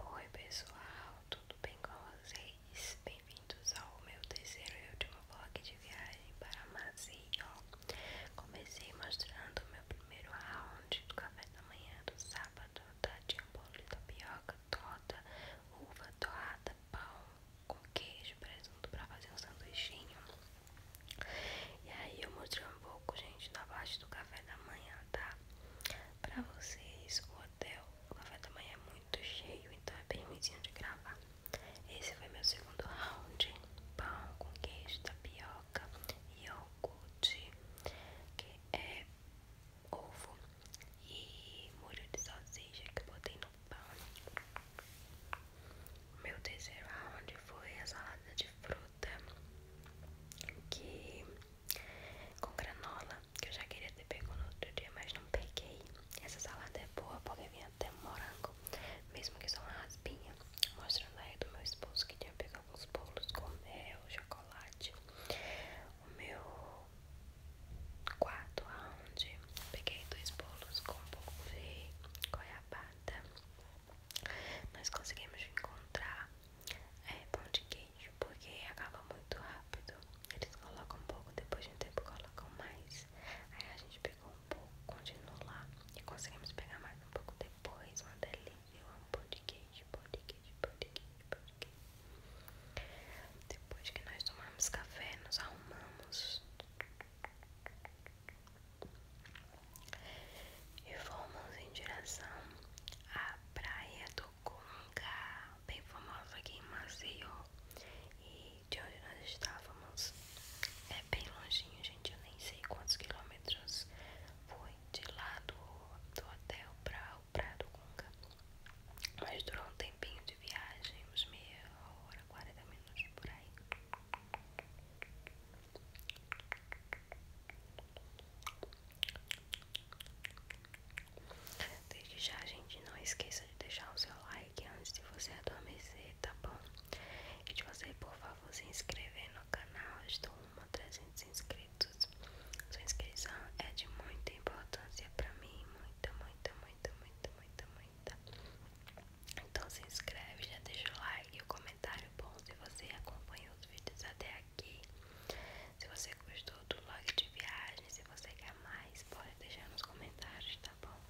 Oi pessoal, tudo bem com vocês? Bem-vindos ao meu terceiro e último vlog de viagem para Maceió Comecei mostrando meu primeiro round do café da manhã do sábado Tá? Tinha um bolo de tapioca, torta, uva torrada, pão com queijo, e presunto para fazer um sanduichinho E aí eu mostrei um pouco, gente, da parte do café da manhã tá? Pra vocês, o hotel, o café da manhã é muito cheio, então é bem ruimzinho de gravar. Esse foi meu segundo round: pão com queijo, tapioca, iogurte, que é ovo e molho de salsicha que eu botei no pão. Meu terceiro round foi a salada de frutas fruta que com granola, que eu já queria ter pego no outro dia, mas não peguei. Essa salada é boa porque vinha até morango, mesmo que só uma raspinha. Mostrando aí do meu esposo que tinha pegado alguns bolos com mel, chocolate. O meu quarto round, peguei dois bolos com polvo goiabada. Nós conseguimos encontrar é pão de queijo, porque acaba muito rápido. Eles colocam um pouco, depois de um tempo colocam mais. Aí a gente pegou um pouco, continuou lá e conseguimos pegar mais um pouco depois. Uma delícia, eu amo pão de queijo, pão de queijo, pão de queijo, pão de queijo. Depois que nós tomamos café, nos arrumamos. E fomos em direção à praia do Cunga, bem famosa aqui em Maceió. E de onde nós estávamos é bem longinho, gente. Eu nem sei quantos quilômetros foi de lá do, hotel para o praia do Cunga. Mas durou um tempinho de viagem, uns meia hora, 40 minutos por aí. Desde já, gente, não esqueça de deixar o seu like antes de você adormecer, tá bom? E de você, por favor, se inscrever no canal. Eu estou uma 300 inscritos. Sua inscrição é de muita importância para mim. Muita, muita, muita, muita, muita, muita. Então se inscreve, já deixa o like e o comentário bom se você acompanha meus vídeos até aqui. Se você gostou do vlog de viagem, se você quer mais, pode deixar nos comentários, tá bom?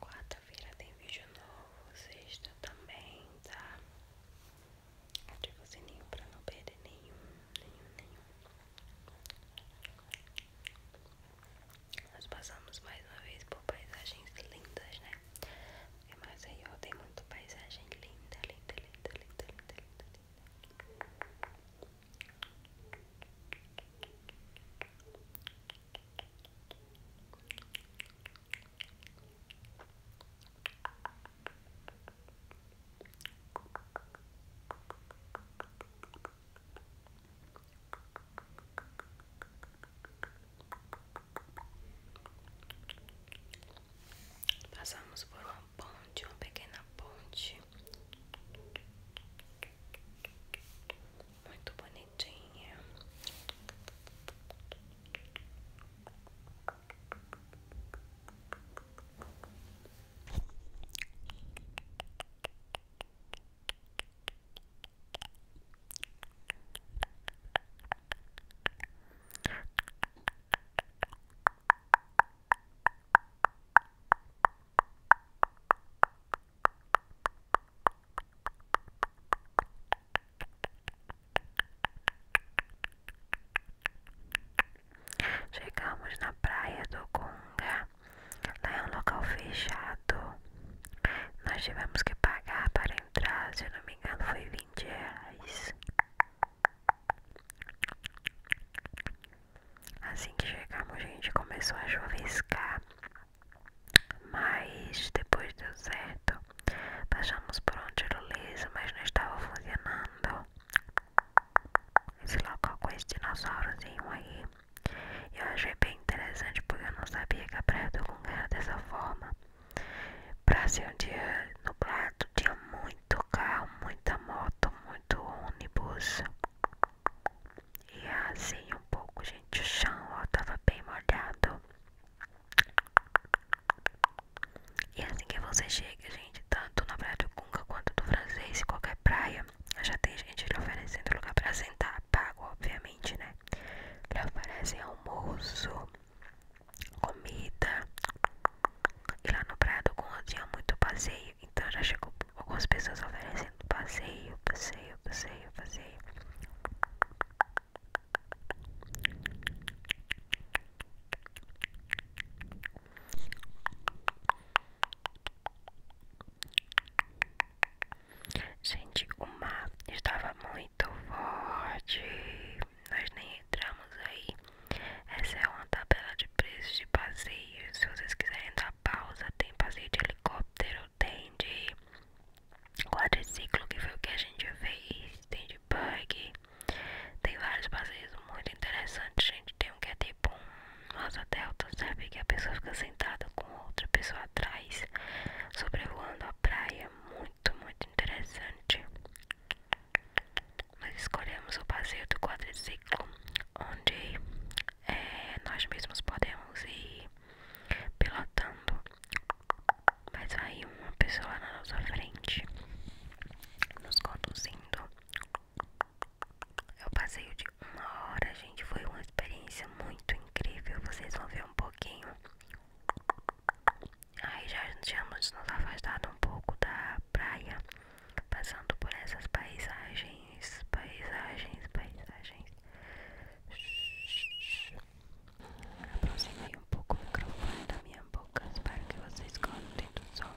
Quarta-feira tem vídeo novo, sexta também, tá? Ativa o sininho assim, pra não perder nenhum, nenhum, nenhum. Nós passamos mais uma vez por paisagens lindas, né? É, mas aí eu tenho muito paisagem linda, linda, linda, linda, linda, linda, linda. Passamos por uma ponte, uma pequena ponte muito bonitinha. Chegamos na praia do Conga Lá é um local fechado. Nós tivemos que pagar para entrar, se eu não me engano, foi 20 reais. Assim que chegamos, gente, começou a chuviscar. Mas depois deu certo. Passamos por um tirolesa, mas não estava funcionando. Esse local com esse dinossaurozinho aí eu achei bem interessante porque eu não sabia que a Praia do Gunga era dessa forma. Pra ser um dia nublado, tinha muito carro, muita moto, muito ônibus. E assim um pouco, gente, o chão ó, bem molhado. E é assim que você chega, gente, tanto na Praia do Gunga quanto do francês, qualquer praia, já tem gente lhe oferecendo lugar para sentar, pago, obviamente, né? Lhe oferecem almoço, comida. E lá no Prado tinha muito passeio, então já chegou algumas pessoas oferecendo passeio, passeio, passeio, passeio. Gente, o mar estava muito forte. Nós nem entramos aí. Essa é uma tabela de preços de passeio. Se vocês quiserem dar pausa, tem passeio de helicóptero, tem de quadriciclo, que foi o que a gente fez, tem de bug. Tem vários passeios muito interessantes, gente. Tem um que é de tipo um asa delta, sabe? Que a pessoa fica sentada com outra pessoa atrás, sobrevoando a praia. Muito, muito interessante. Nós escolhemos o passeio do quadriciclo, onde é, nós mesmos podemos ir pilotando, mas vai uma pessoa na nossa frente nos conduzindo eu passei de uma hora, gente. Foi uma experiência muito incrível. Vocês vão ver um pouquinho. Aí já tínhamos nos afastado um pouco da praia, passando por essas paisagens, paisagens, paisagens. Aproximei um pouco o microfone da minha boca, espero que vocês gostem do som.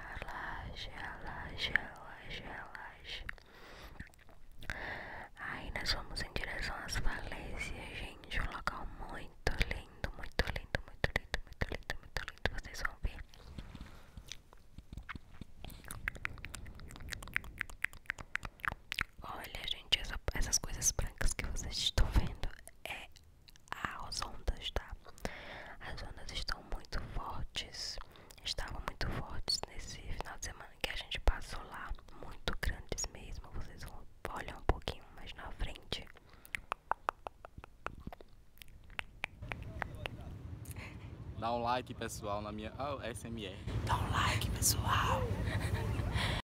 Relaxa, relaxa, relaxa, relaxa. Aí nós vamos em direção às falésias, gente. Um local muito lindo, muito lindo, muito lindo, muito lindo, muito lindo. Vocês vão ver. Olha, gente, essas coisas brancas que vocês estão vendo é as ondas, tá? As ondas estão muito fortes, estavam muito fortes nesse final de semana que a gente passou lá, muito grandes mesmo. Vocês vão olhar um pouquinho mais na frente. Dá um like, pessoal, na minha oh, ah, SMR. Dá um like, pessoal.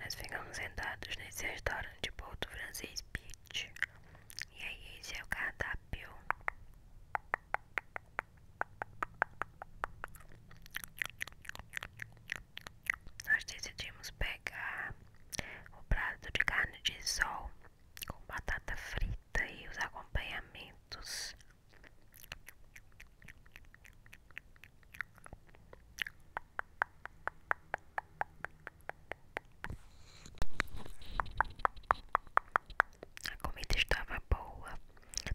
Nós ficamos sentados nesse restaurante de Porto Francês Beach. E aí, esse é o cardápio. Nós decidimos pegar o prato de carne de sol com batata frita e os acompanhamentos. A comida estava boa.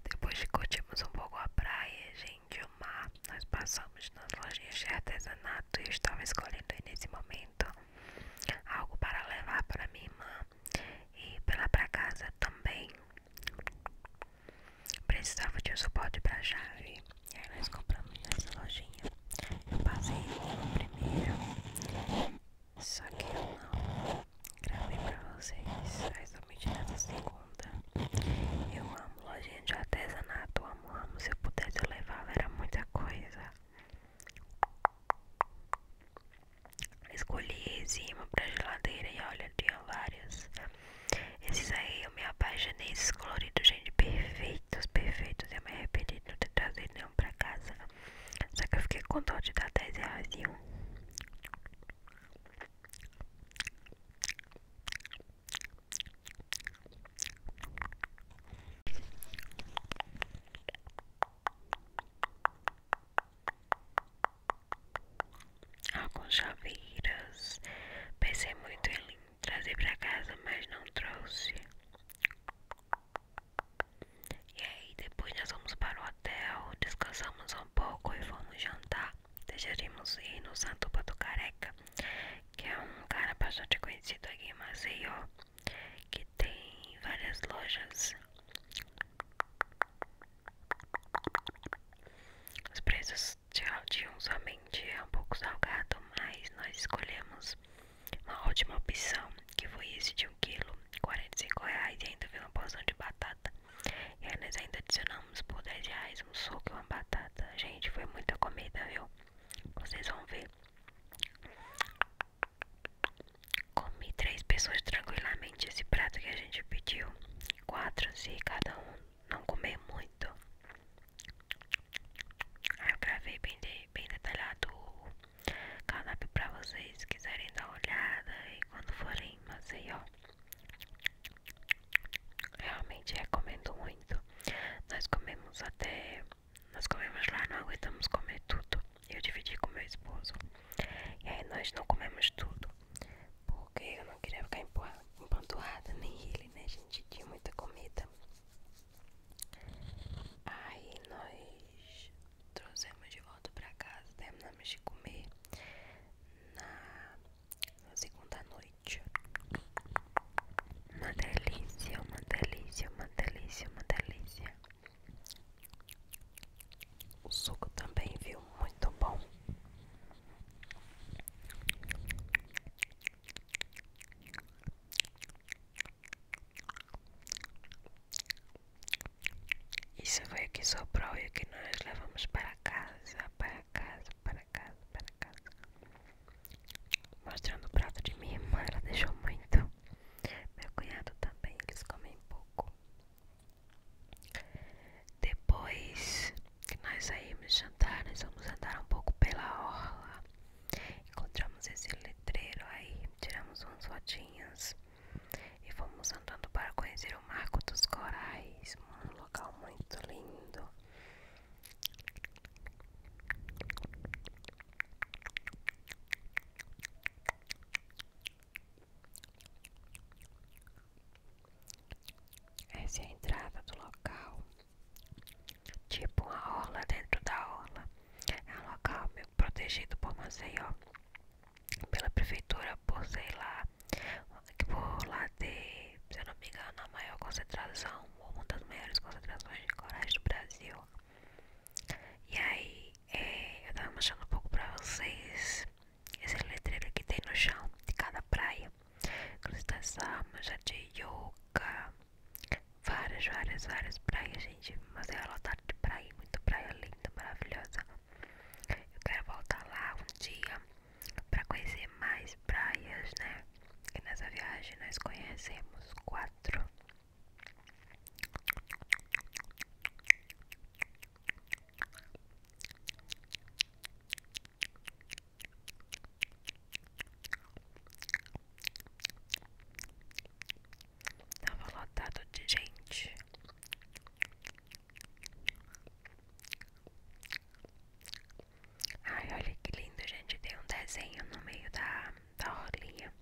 Depois de curtirmos um pouco a praia, gente, o mar, nós passamos nas lojinhas de artesanato e eu estava escolhendo nesse momento algo para levar para minha irmã e para para casa também. Precisava de um suporte para chave. E aí nós compramos nessa lojinha. Eu passei no primeira Só que eu não gravei para vocês. Aí somente nessa segunda. Eu amo lojinha de artesanato. Amo, amo. Se eu pudesse eu levava, era muita coisa. Escolhi enzima pra geladeira e olha, tinha várias. Esses aí eu me apaixonei, esses coloridos, gente, perfeitos, perfeitos. Eu me arrependi de não ter trazido nenhum pra casa. Só que eu fiquei com dó de dar 10 reais em um alguns chaveiras. Pensei muito em trazer pra casa, mas não trouxe. E aí, depois nós vamos para o hotel, descansamos um pouco e fomos jantar. Deixaremos ir no Santuba do Careca, que é um cara bastante conhecido aqui em Maceió, que tem várias lojas. Os preços de Aldium somente é um pouco salgado, mas nós escolhemos uma ótima opção, que foi esse de 1 kg, R$ reais e ainda veio uma porção de batata. E aí nós ainda adicionamos por 10 reais um suco e uma batata. Gente, foi muita comida, viu? Vocês vão ver. Comi três pessoas tranquilamente esse prato que a gente pediu. Quatro se cada um não comer muito. eu gravei bem, bem detalhado o cardápio para vocês quiserem dar uma olhada e quando forem ó Realmente recomendo muito. Nós comemos até. Nós comemos lá, não aguentamos comer tudo. Eu dividi com meu esposo. E aí nós não comemos tudo. Porque eu não queria ficar empanturrada, nem ele, né? gente tinha muita comida. Aí nós trouxemos de volta pra casa, terminamos de comer na, na segunda noite. Uma delícia, uma delícia, uma delícia, uma delícia. O suco também viu muito bom. Isso foi o que sobrou e que nós levamos para casa, para casa, para casa, para casa. Mostrando o prato de minha irmã, ela deixou muito. Meu cunhado também, eles comem pouco. Depois que nós saímos jantar, nós vamos andar um pouco pela orla. Encontramos esse letreiro aí, tiramos umas fotinhas e fomos andando para conhecer o Marco dos Corais, um local muito lindo. Essa é a entrada do local. Tipo uma orla dentro da orla. É um local meio protegido por Maceió. Pela prefeitura, por sei lá. Por lá ter, se eu não me engano, a maior concentração, ou uma das maiores concentrações de corais do Brasil. E aí, é, eu tava mostrando um pouco pra vocês esse letreiro que tem no chão de cada praia. Crustasama, já de yoga. Várias, várias, várias praias, gente. Mas é lotado de praia, muito praia linda, maravilhosa. Eu quero voltar lá um dia para conhecer mais praias, né? Que nessa viagem nós conhecemos quatro. Tava lotado de gente. Ai, olha que lindo, gente. Tem um desenho no meio da, da orlinha.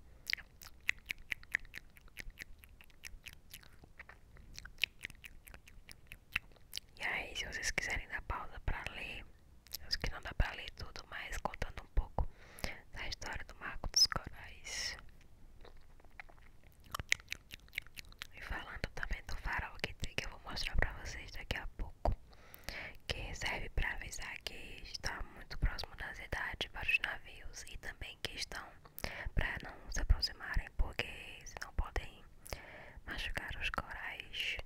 E aí, se vocês quiserem dar pausa pra ler, acho que não dá pra ler tudo, mas contando um pouco da história do Marco dos Corais. E falando também do farol que eu vou mostrar pra vocês daqui a pouco. Que serve pra avisar que está muito próximo da cidade para os navios e também que estão para não se aproximarem, porque senão podem machucar os corais.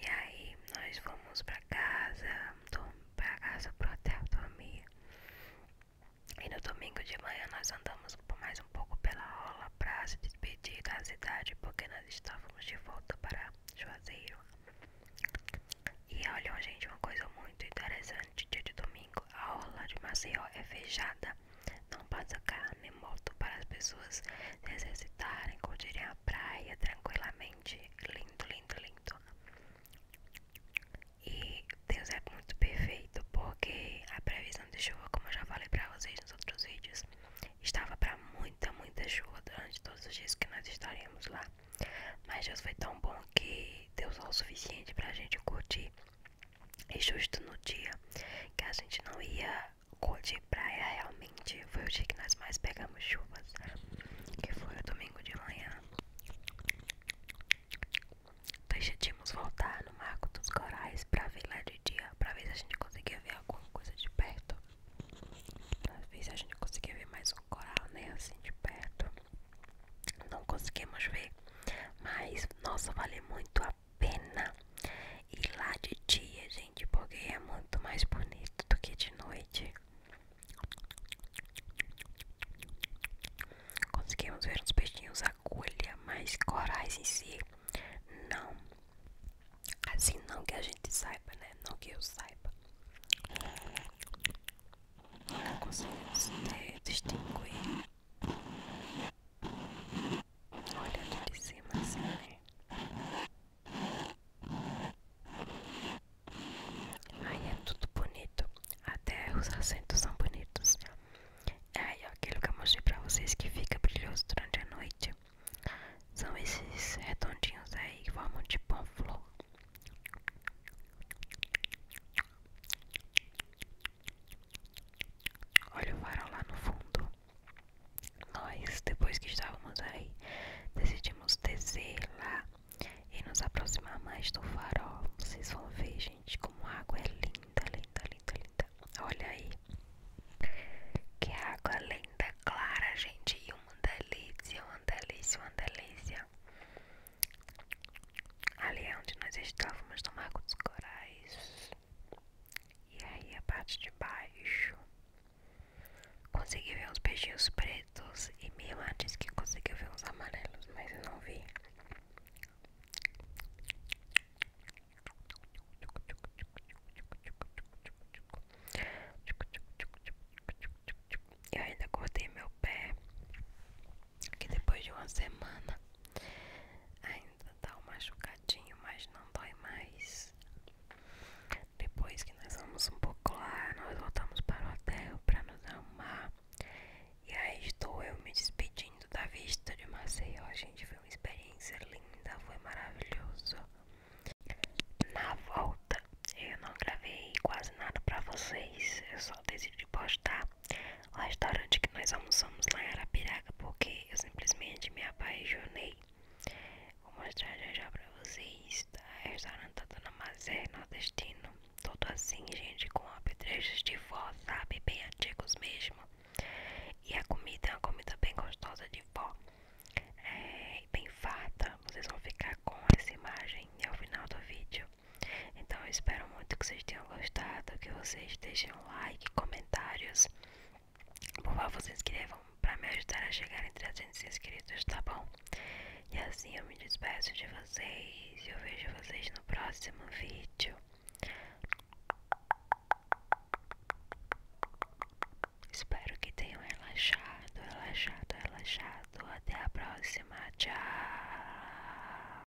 E aí nós fomos pra casa, pra casa pro hotel dormir. E no domingo de manhã nós andamos mais um pouco pela aula pra se despedir da cidade, porque nós estávamos de volta para Juazeiro. E olha, gente, uma coisa muito interessante dia de domingo, a aula de Maceió é fechada não pode carro nem moto para as pessoas se exercitarem, curtirem a praia tranquilamente. Lindo, lindo, lindo. E Deus é muito perfeito porque a previsão de chuva, como eu já falei para vocês nos outros vídeos, estava para muita, muita chuva durante todos os dias que nós estaremos lá. Mas Deus foi tão bom que Deus é o suficiente para a gente curtir e justo no dia que a gente não ia correr praia realmente, foi o dia que nós mais pegamos chuvas, que foi o domingo de manhã. Decidimos voltar no Marco dos Corais pra ver lá de dia, pra ver se a gente conseguia ver alguma coisa de perto. Pra ver se a gente conseguia ver mais um coral, né, assim de perto. Não conseguimos ver, mas, nossa, vale muito a pena pena e lá de dia, gente, porque é muito mais bonito do que de noite. Conseguimos ver uns peixinhos agulha, mas corais em si, não. Assim, não que a gente saiba, né? Não que eu saiba. Não conseguimos eh, distinguir Olha aqui de cima assim, né? Aí é tudo bonito. Até os assentos são bonitos. é Aí, aquilo que eu mostrei pra vocês que fica brilhoso durante a noite. São esses redondinhos aí que formam tipo uma flor. Olha o farol lá no fundo. Nós, depois que estávamos aí, decidimos descer lá e nos aproximar mais do farol. Vocês vão ver, gente, como a água é linda, linda, linda, linda. Olha aí. Que água linda, clara, gente. E uma delícia, uma delícia, uma delícia. Ali é onde nós estávamos no Marco dos Corais. E aí a parte de baixo. Consegui ver uns peixinhos pretos. E minha irmã disse que conseguiu ver uns amarelos, mas eu não vi. E ainda cortei meu pé que depois de uma semana ainda tá um machucadinho, mas não dói mais. Depois que nós vamos um pouco lá, nós voltamos para o hotel para nos arrumar. E aí estou eu me despedindo da vista de Maceió, gente. Foi uma experiência linda, foi maravilhoso. Na volta, eu não gravei quase nada pra vocês, eu só decidi postar o restaurante que nós almoçamos lá em Arapiraca, porque eu simplesmente me apaixonei. Vou mostrar já já pra vocês. Tá? O restaurante do Namazé Mazé, é nordestino. Todo assim, gente, com apetrechos de vó, sabe? Bem antigos mesmo. E a comida é uma comida bem gostosa de vó. É, bem farta. Vocês vão ficar com essa imagem no final do vídeo. Então eu espero muito que vocês tenham gostado, que vocês deixem um like, comentários. Por favor, se inscrevam para me ajudar a chegar em 300 inscritos, tá bom? E assim eu me despeço de vocês. Eu vejo vocês no próximo vídeo. Espero que tenham relaxado, relaxado, relaxado. Até a próxima. Tchau.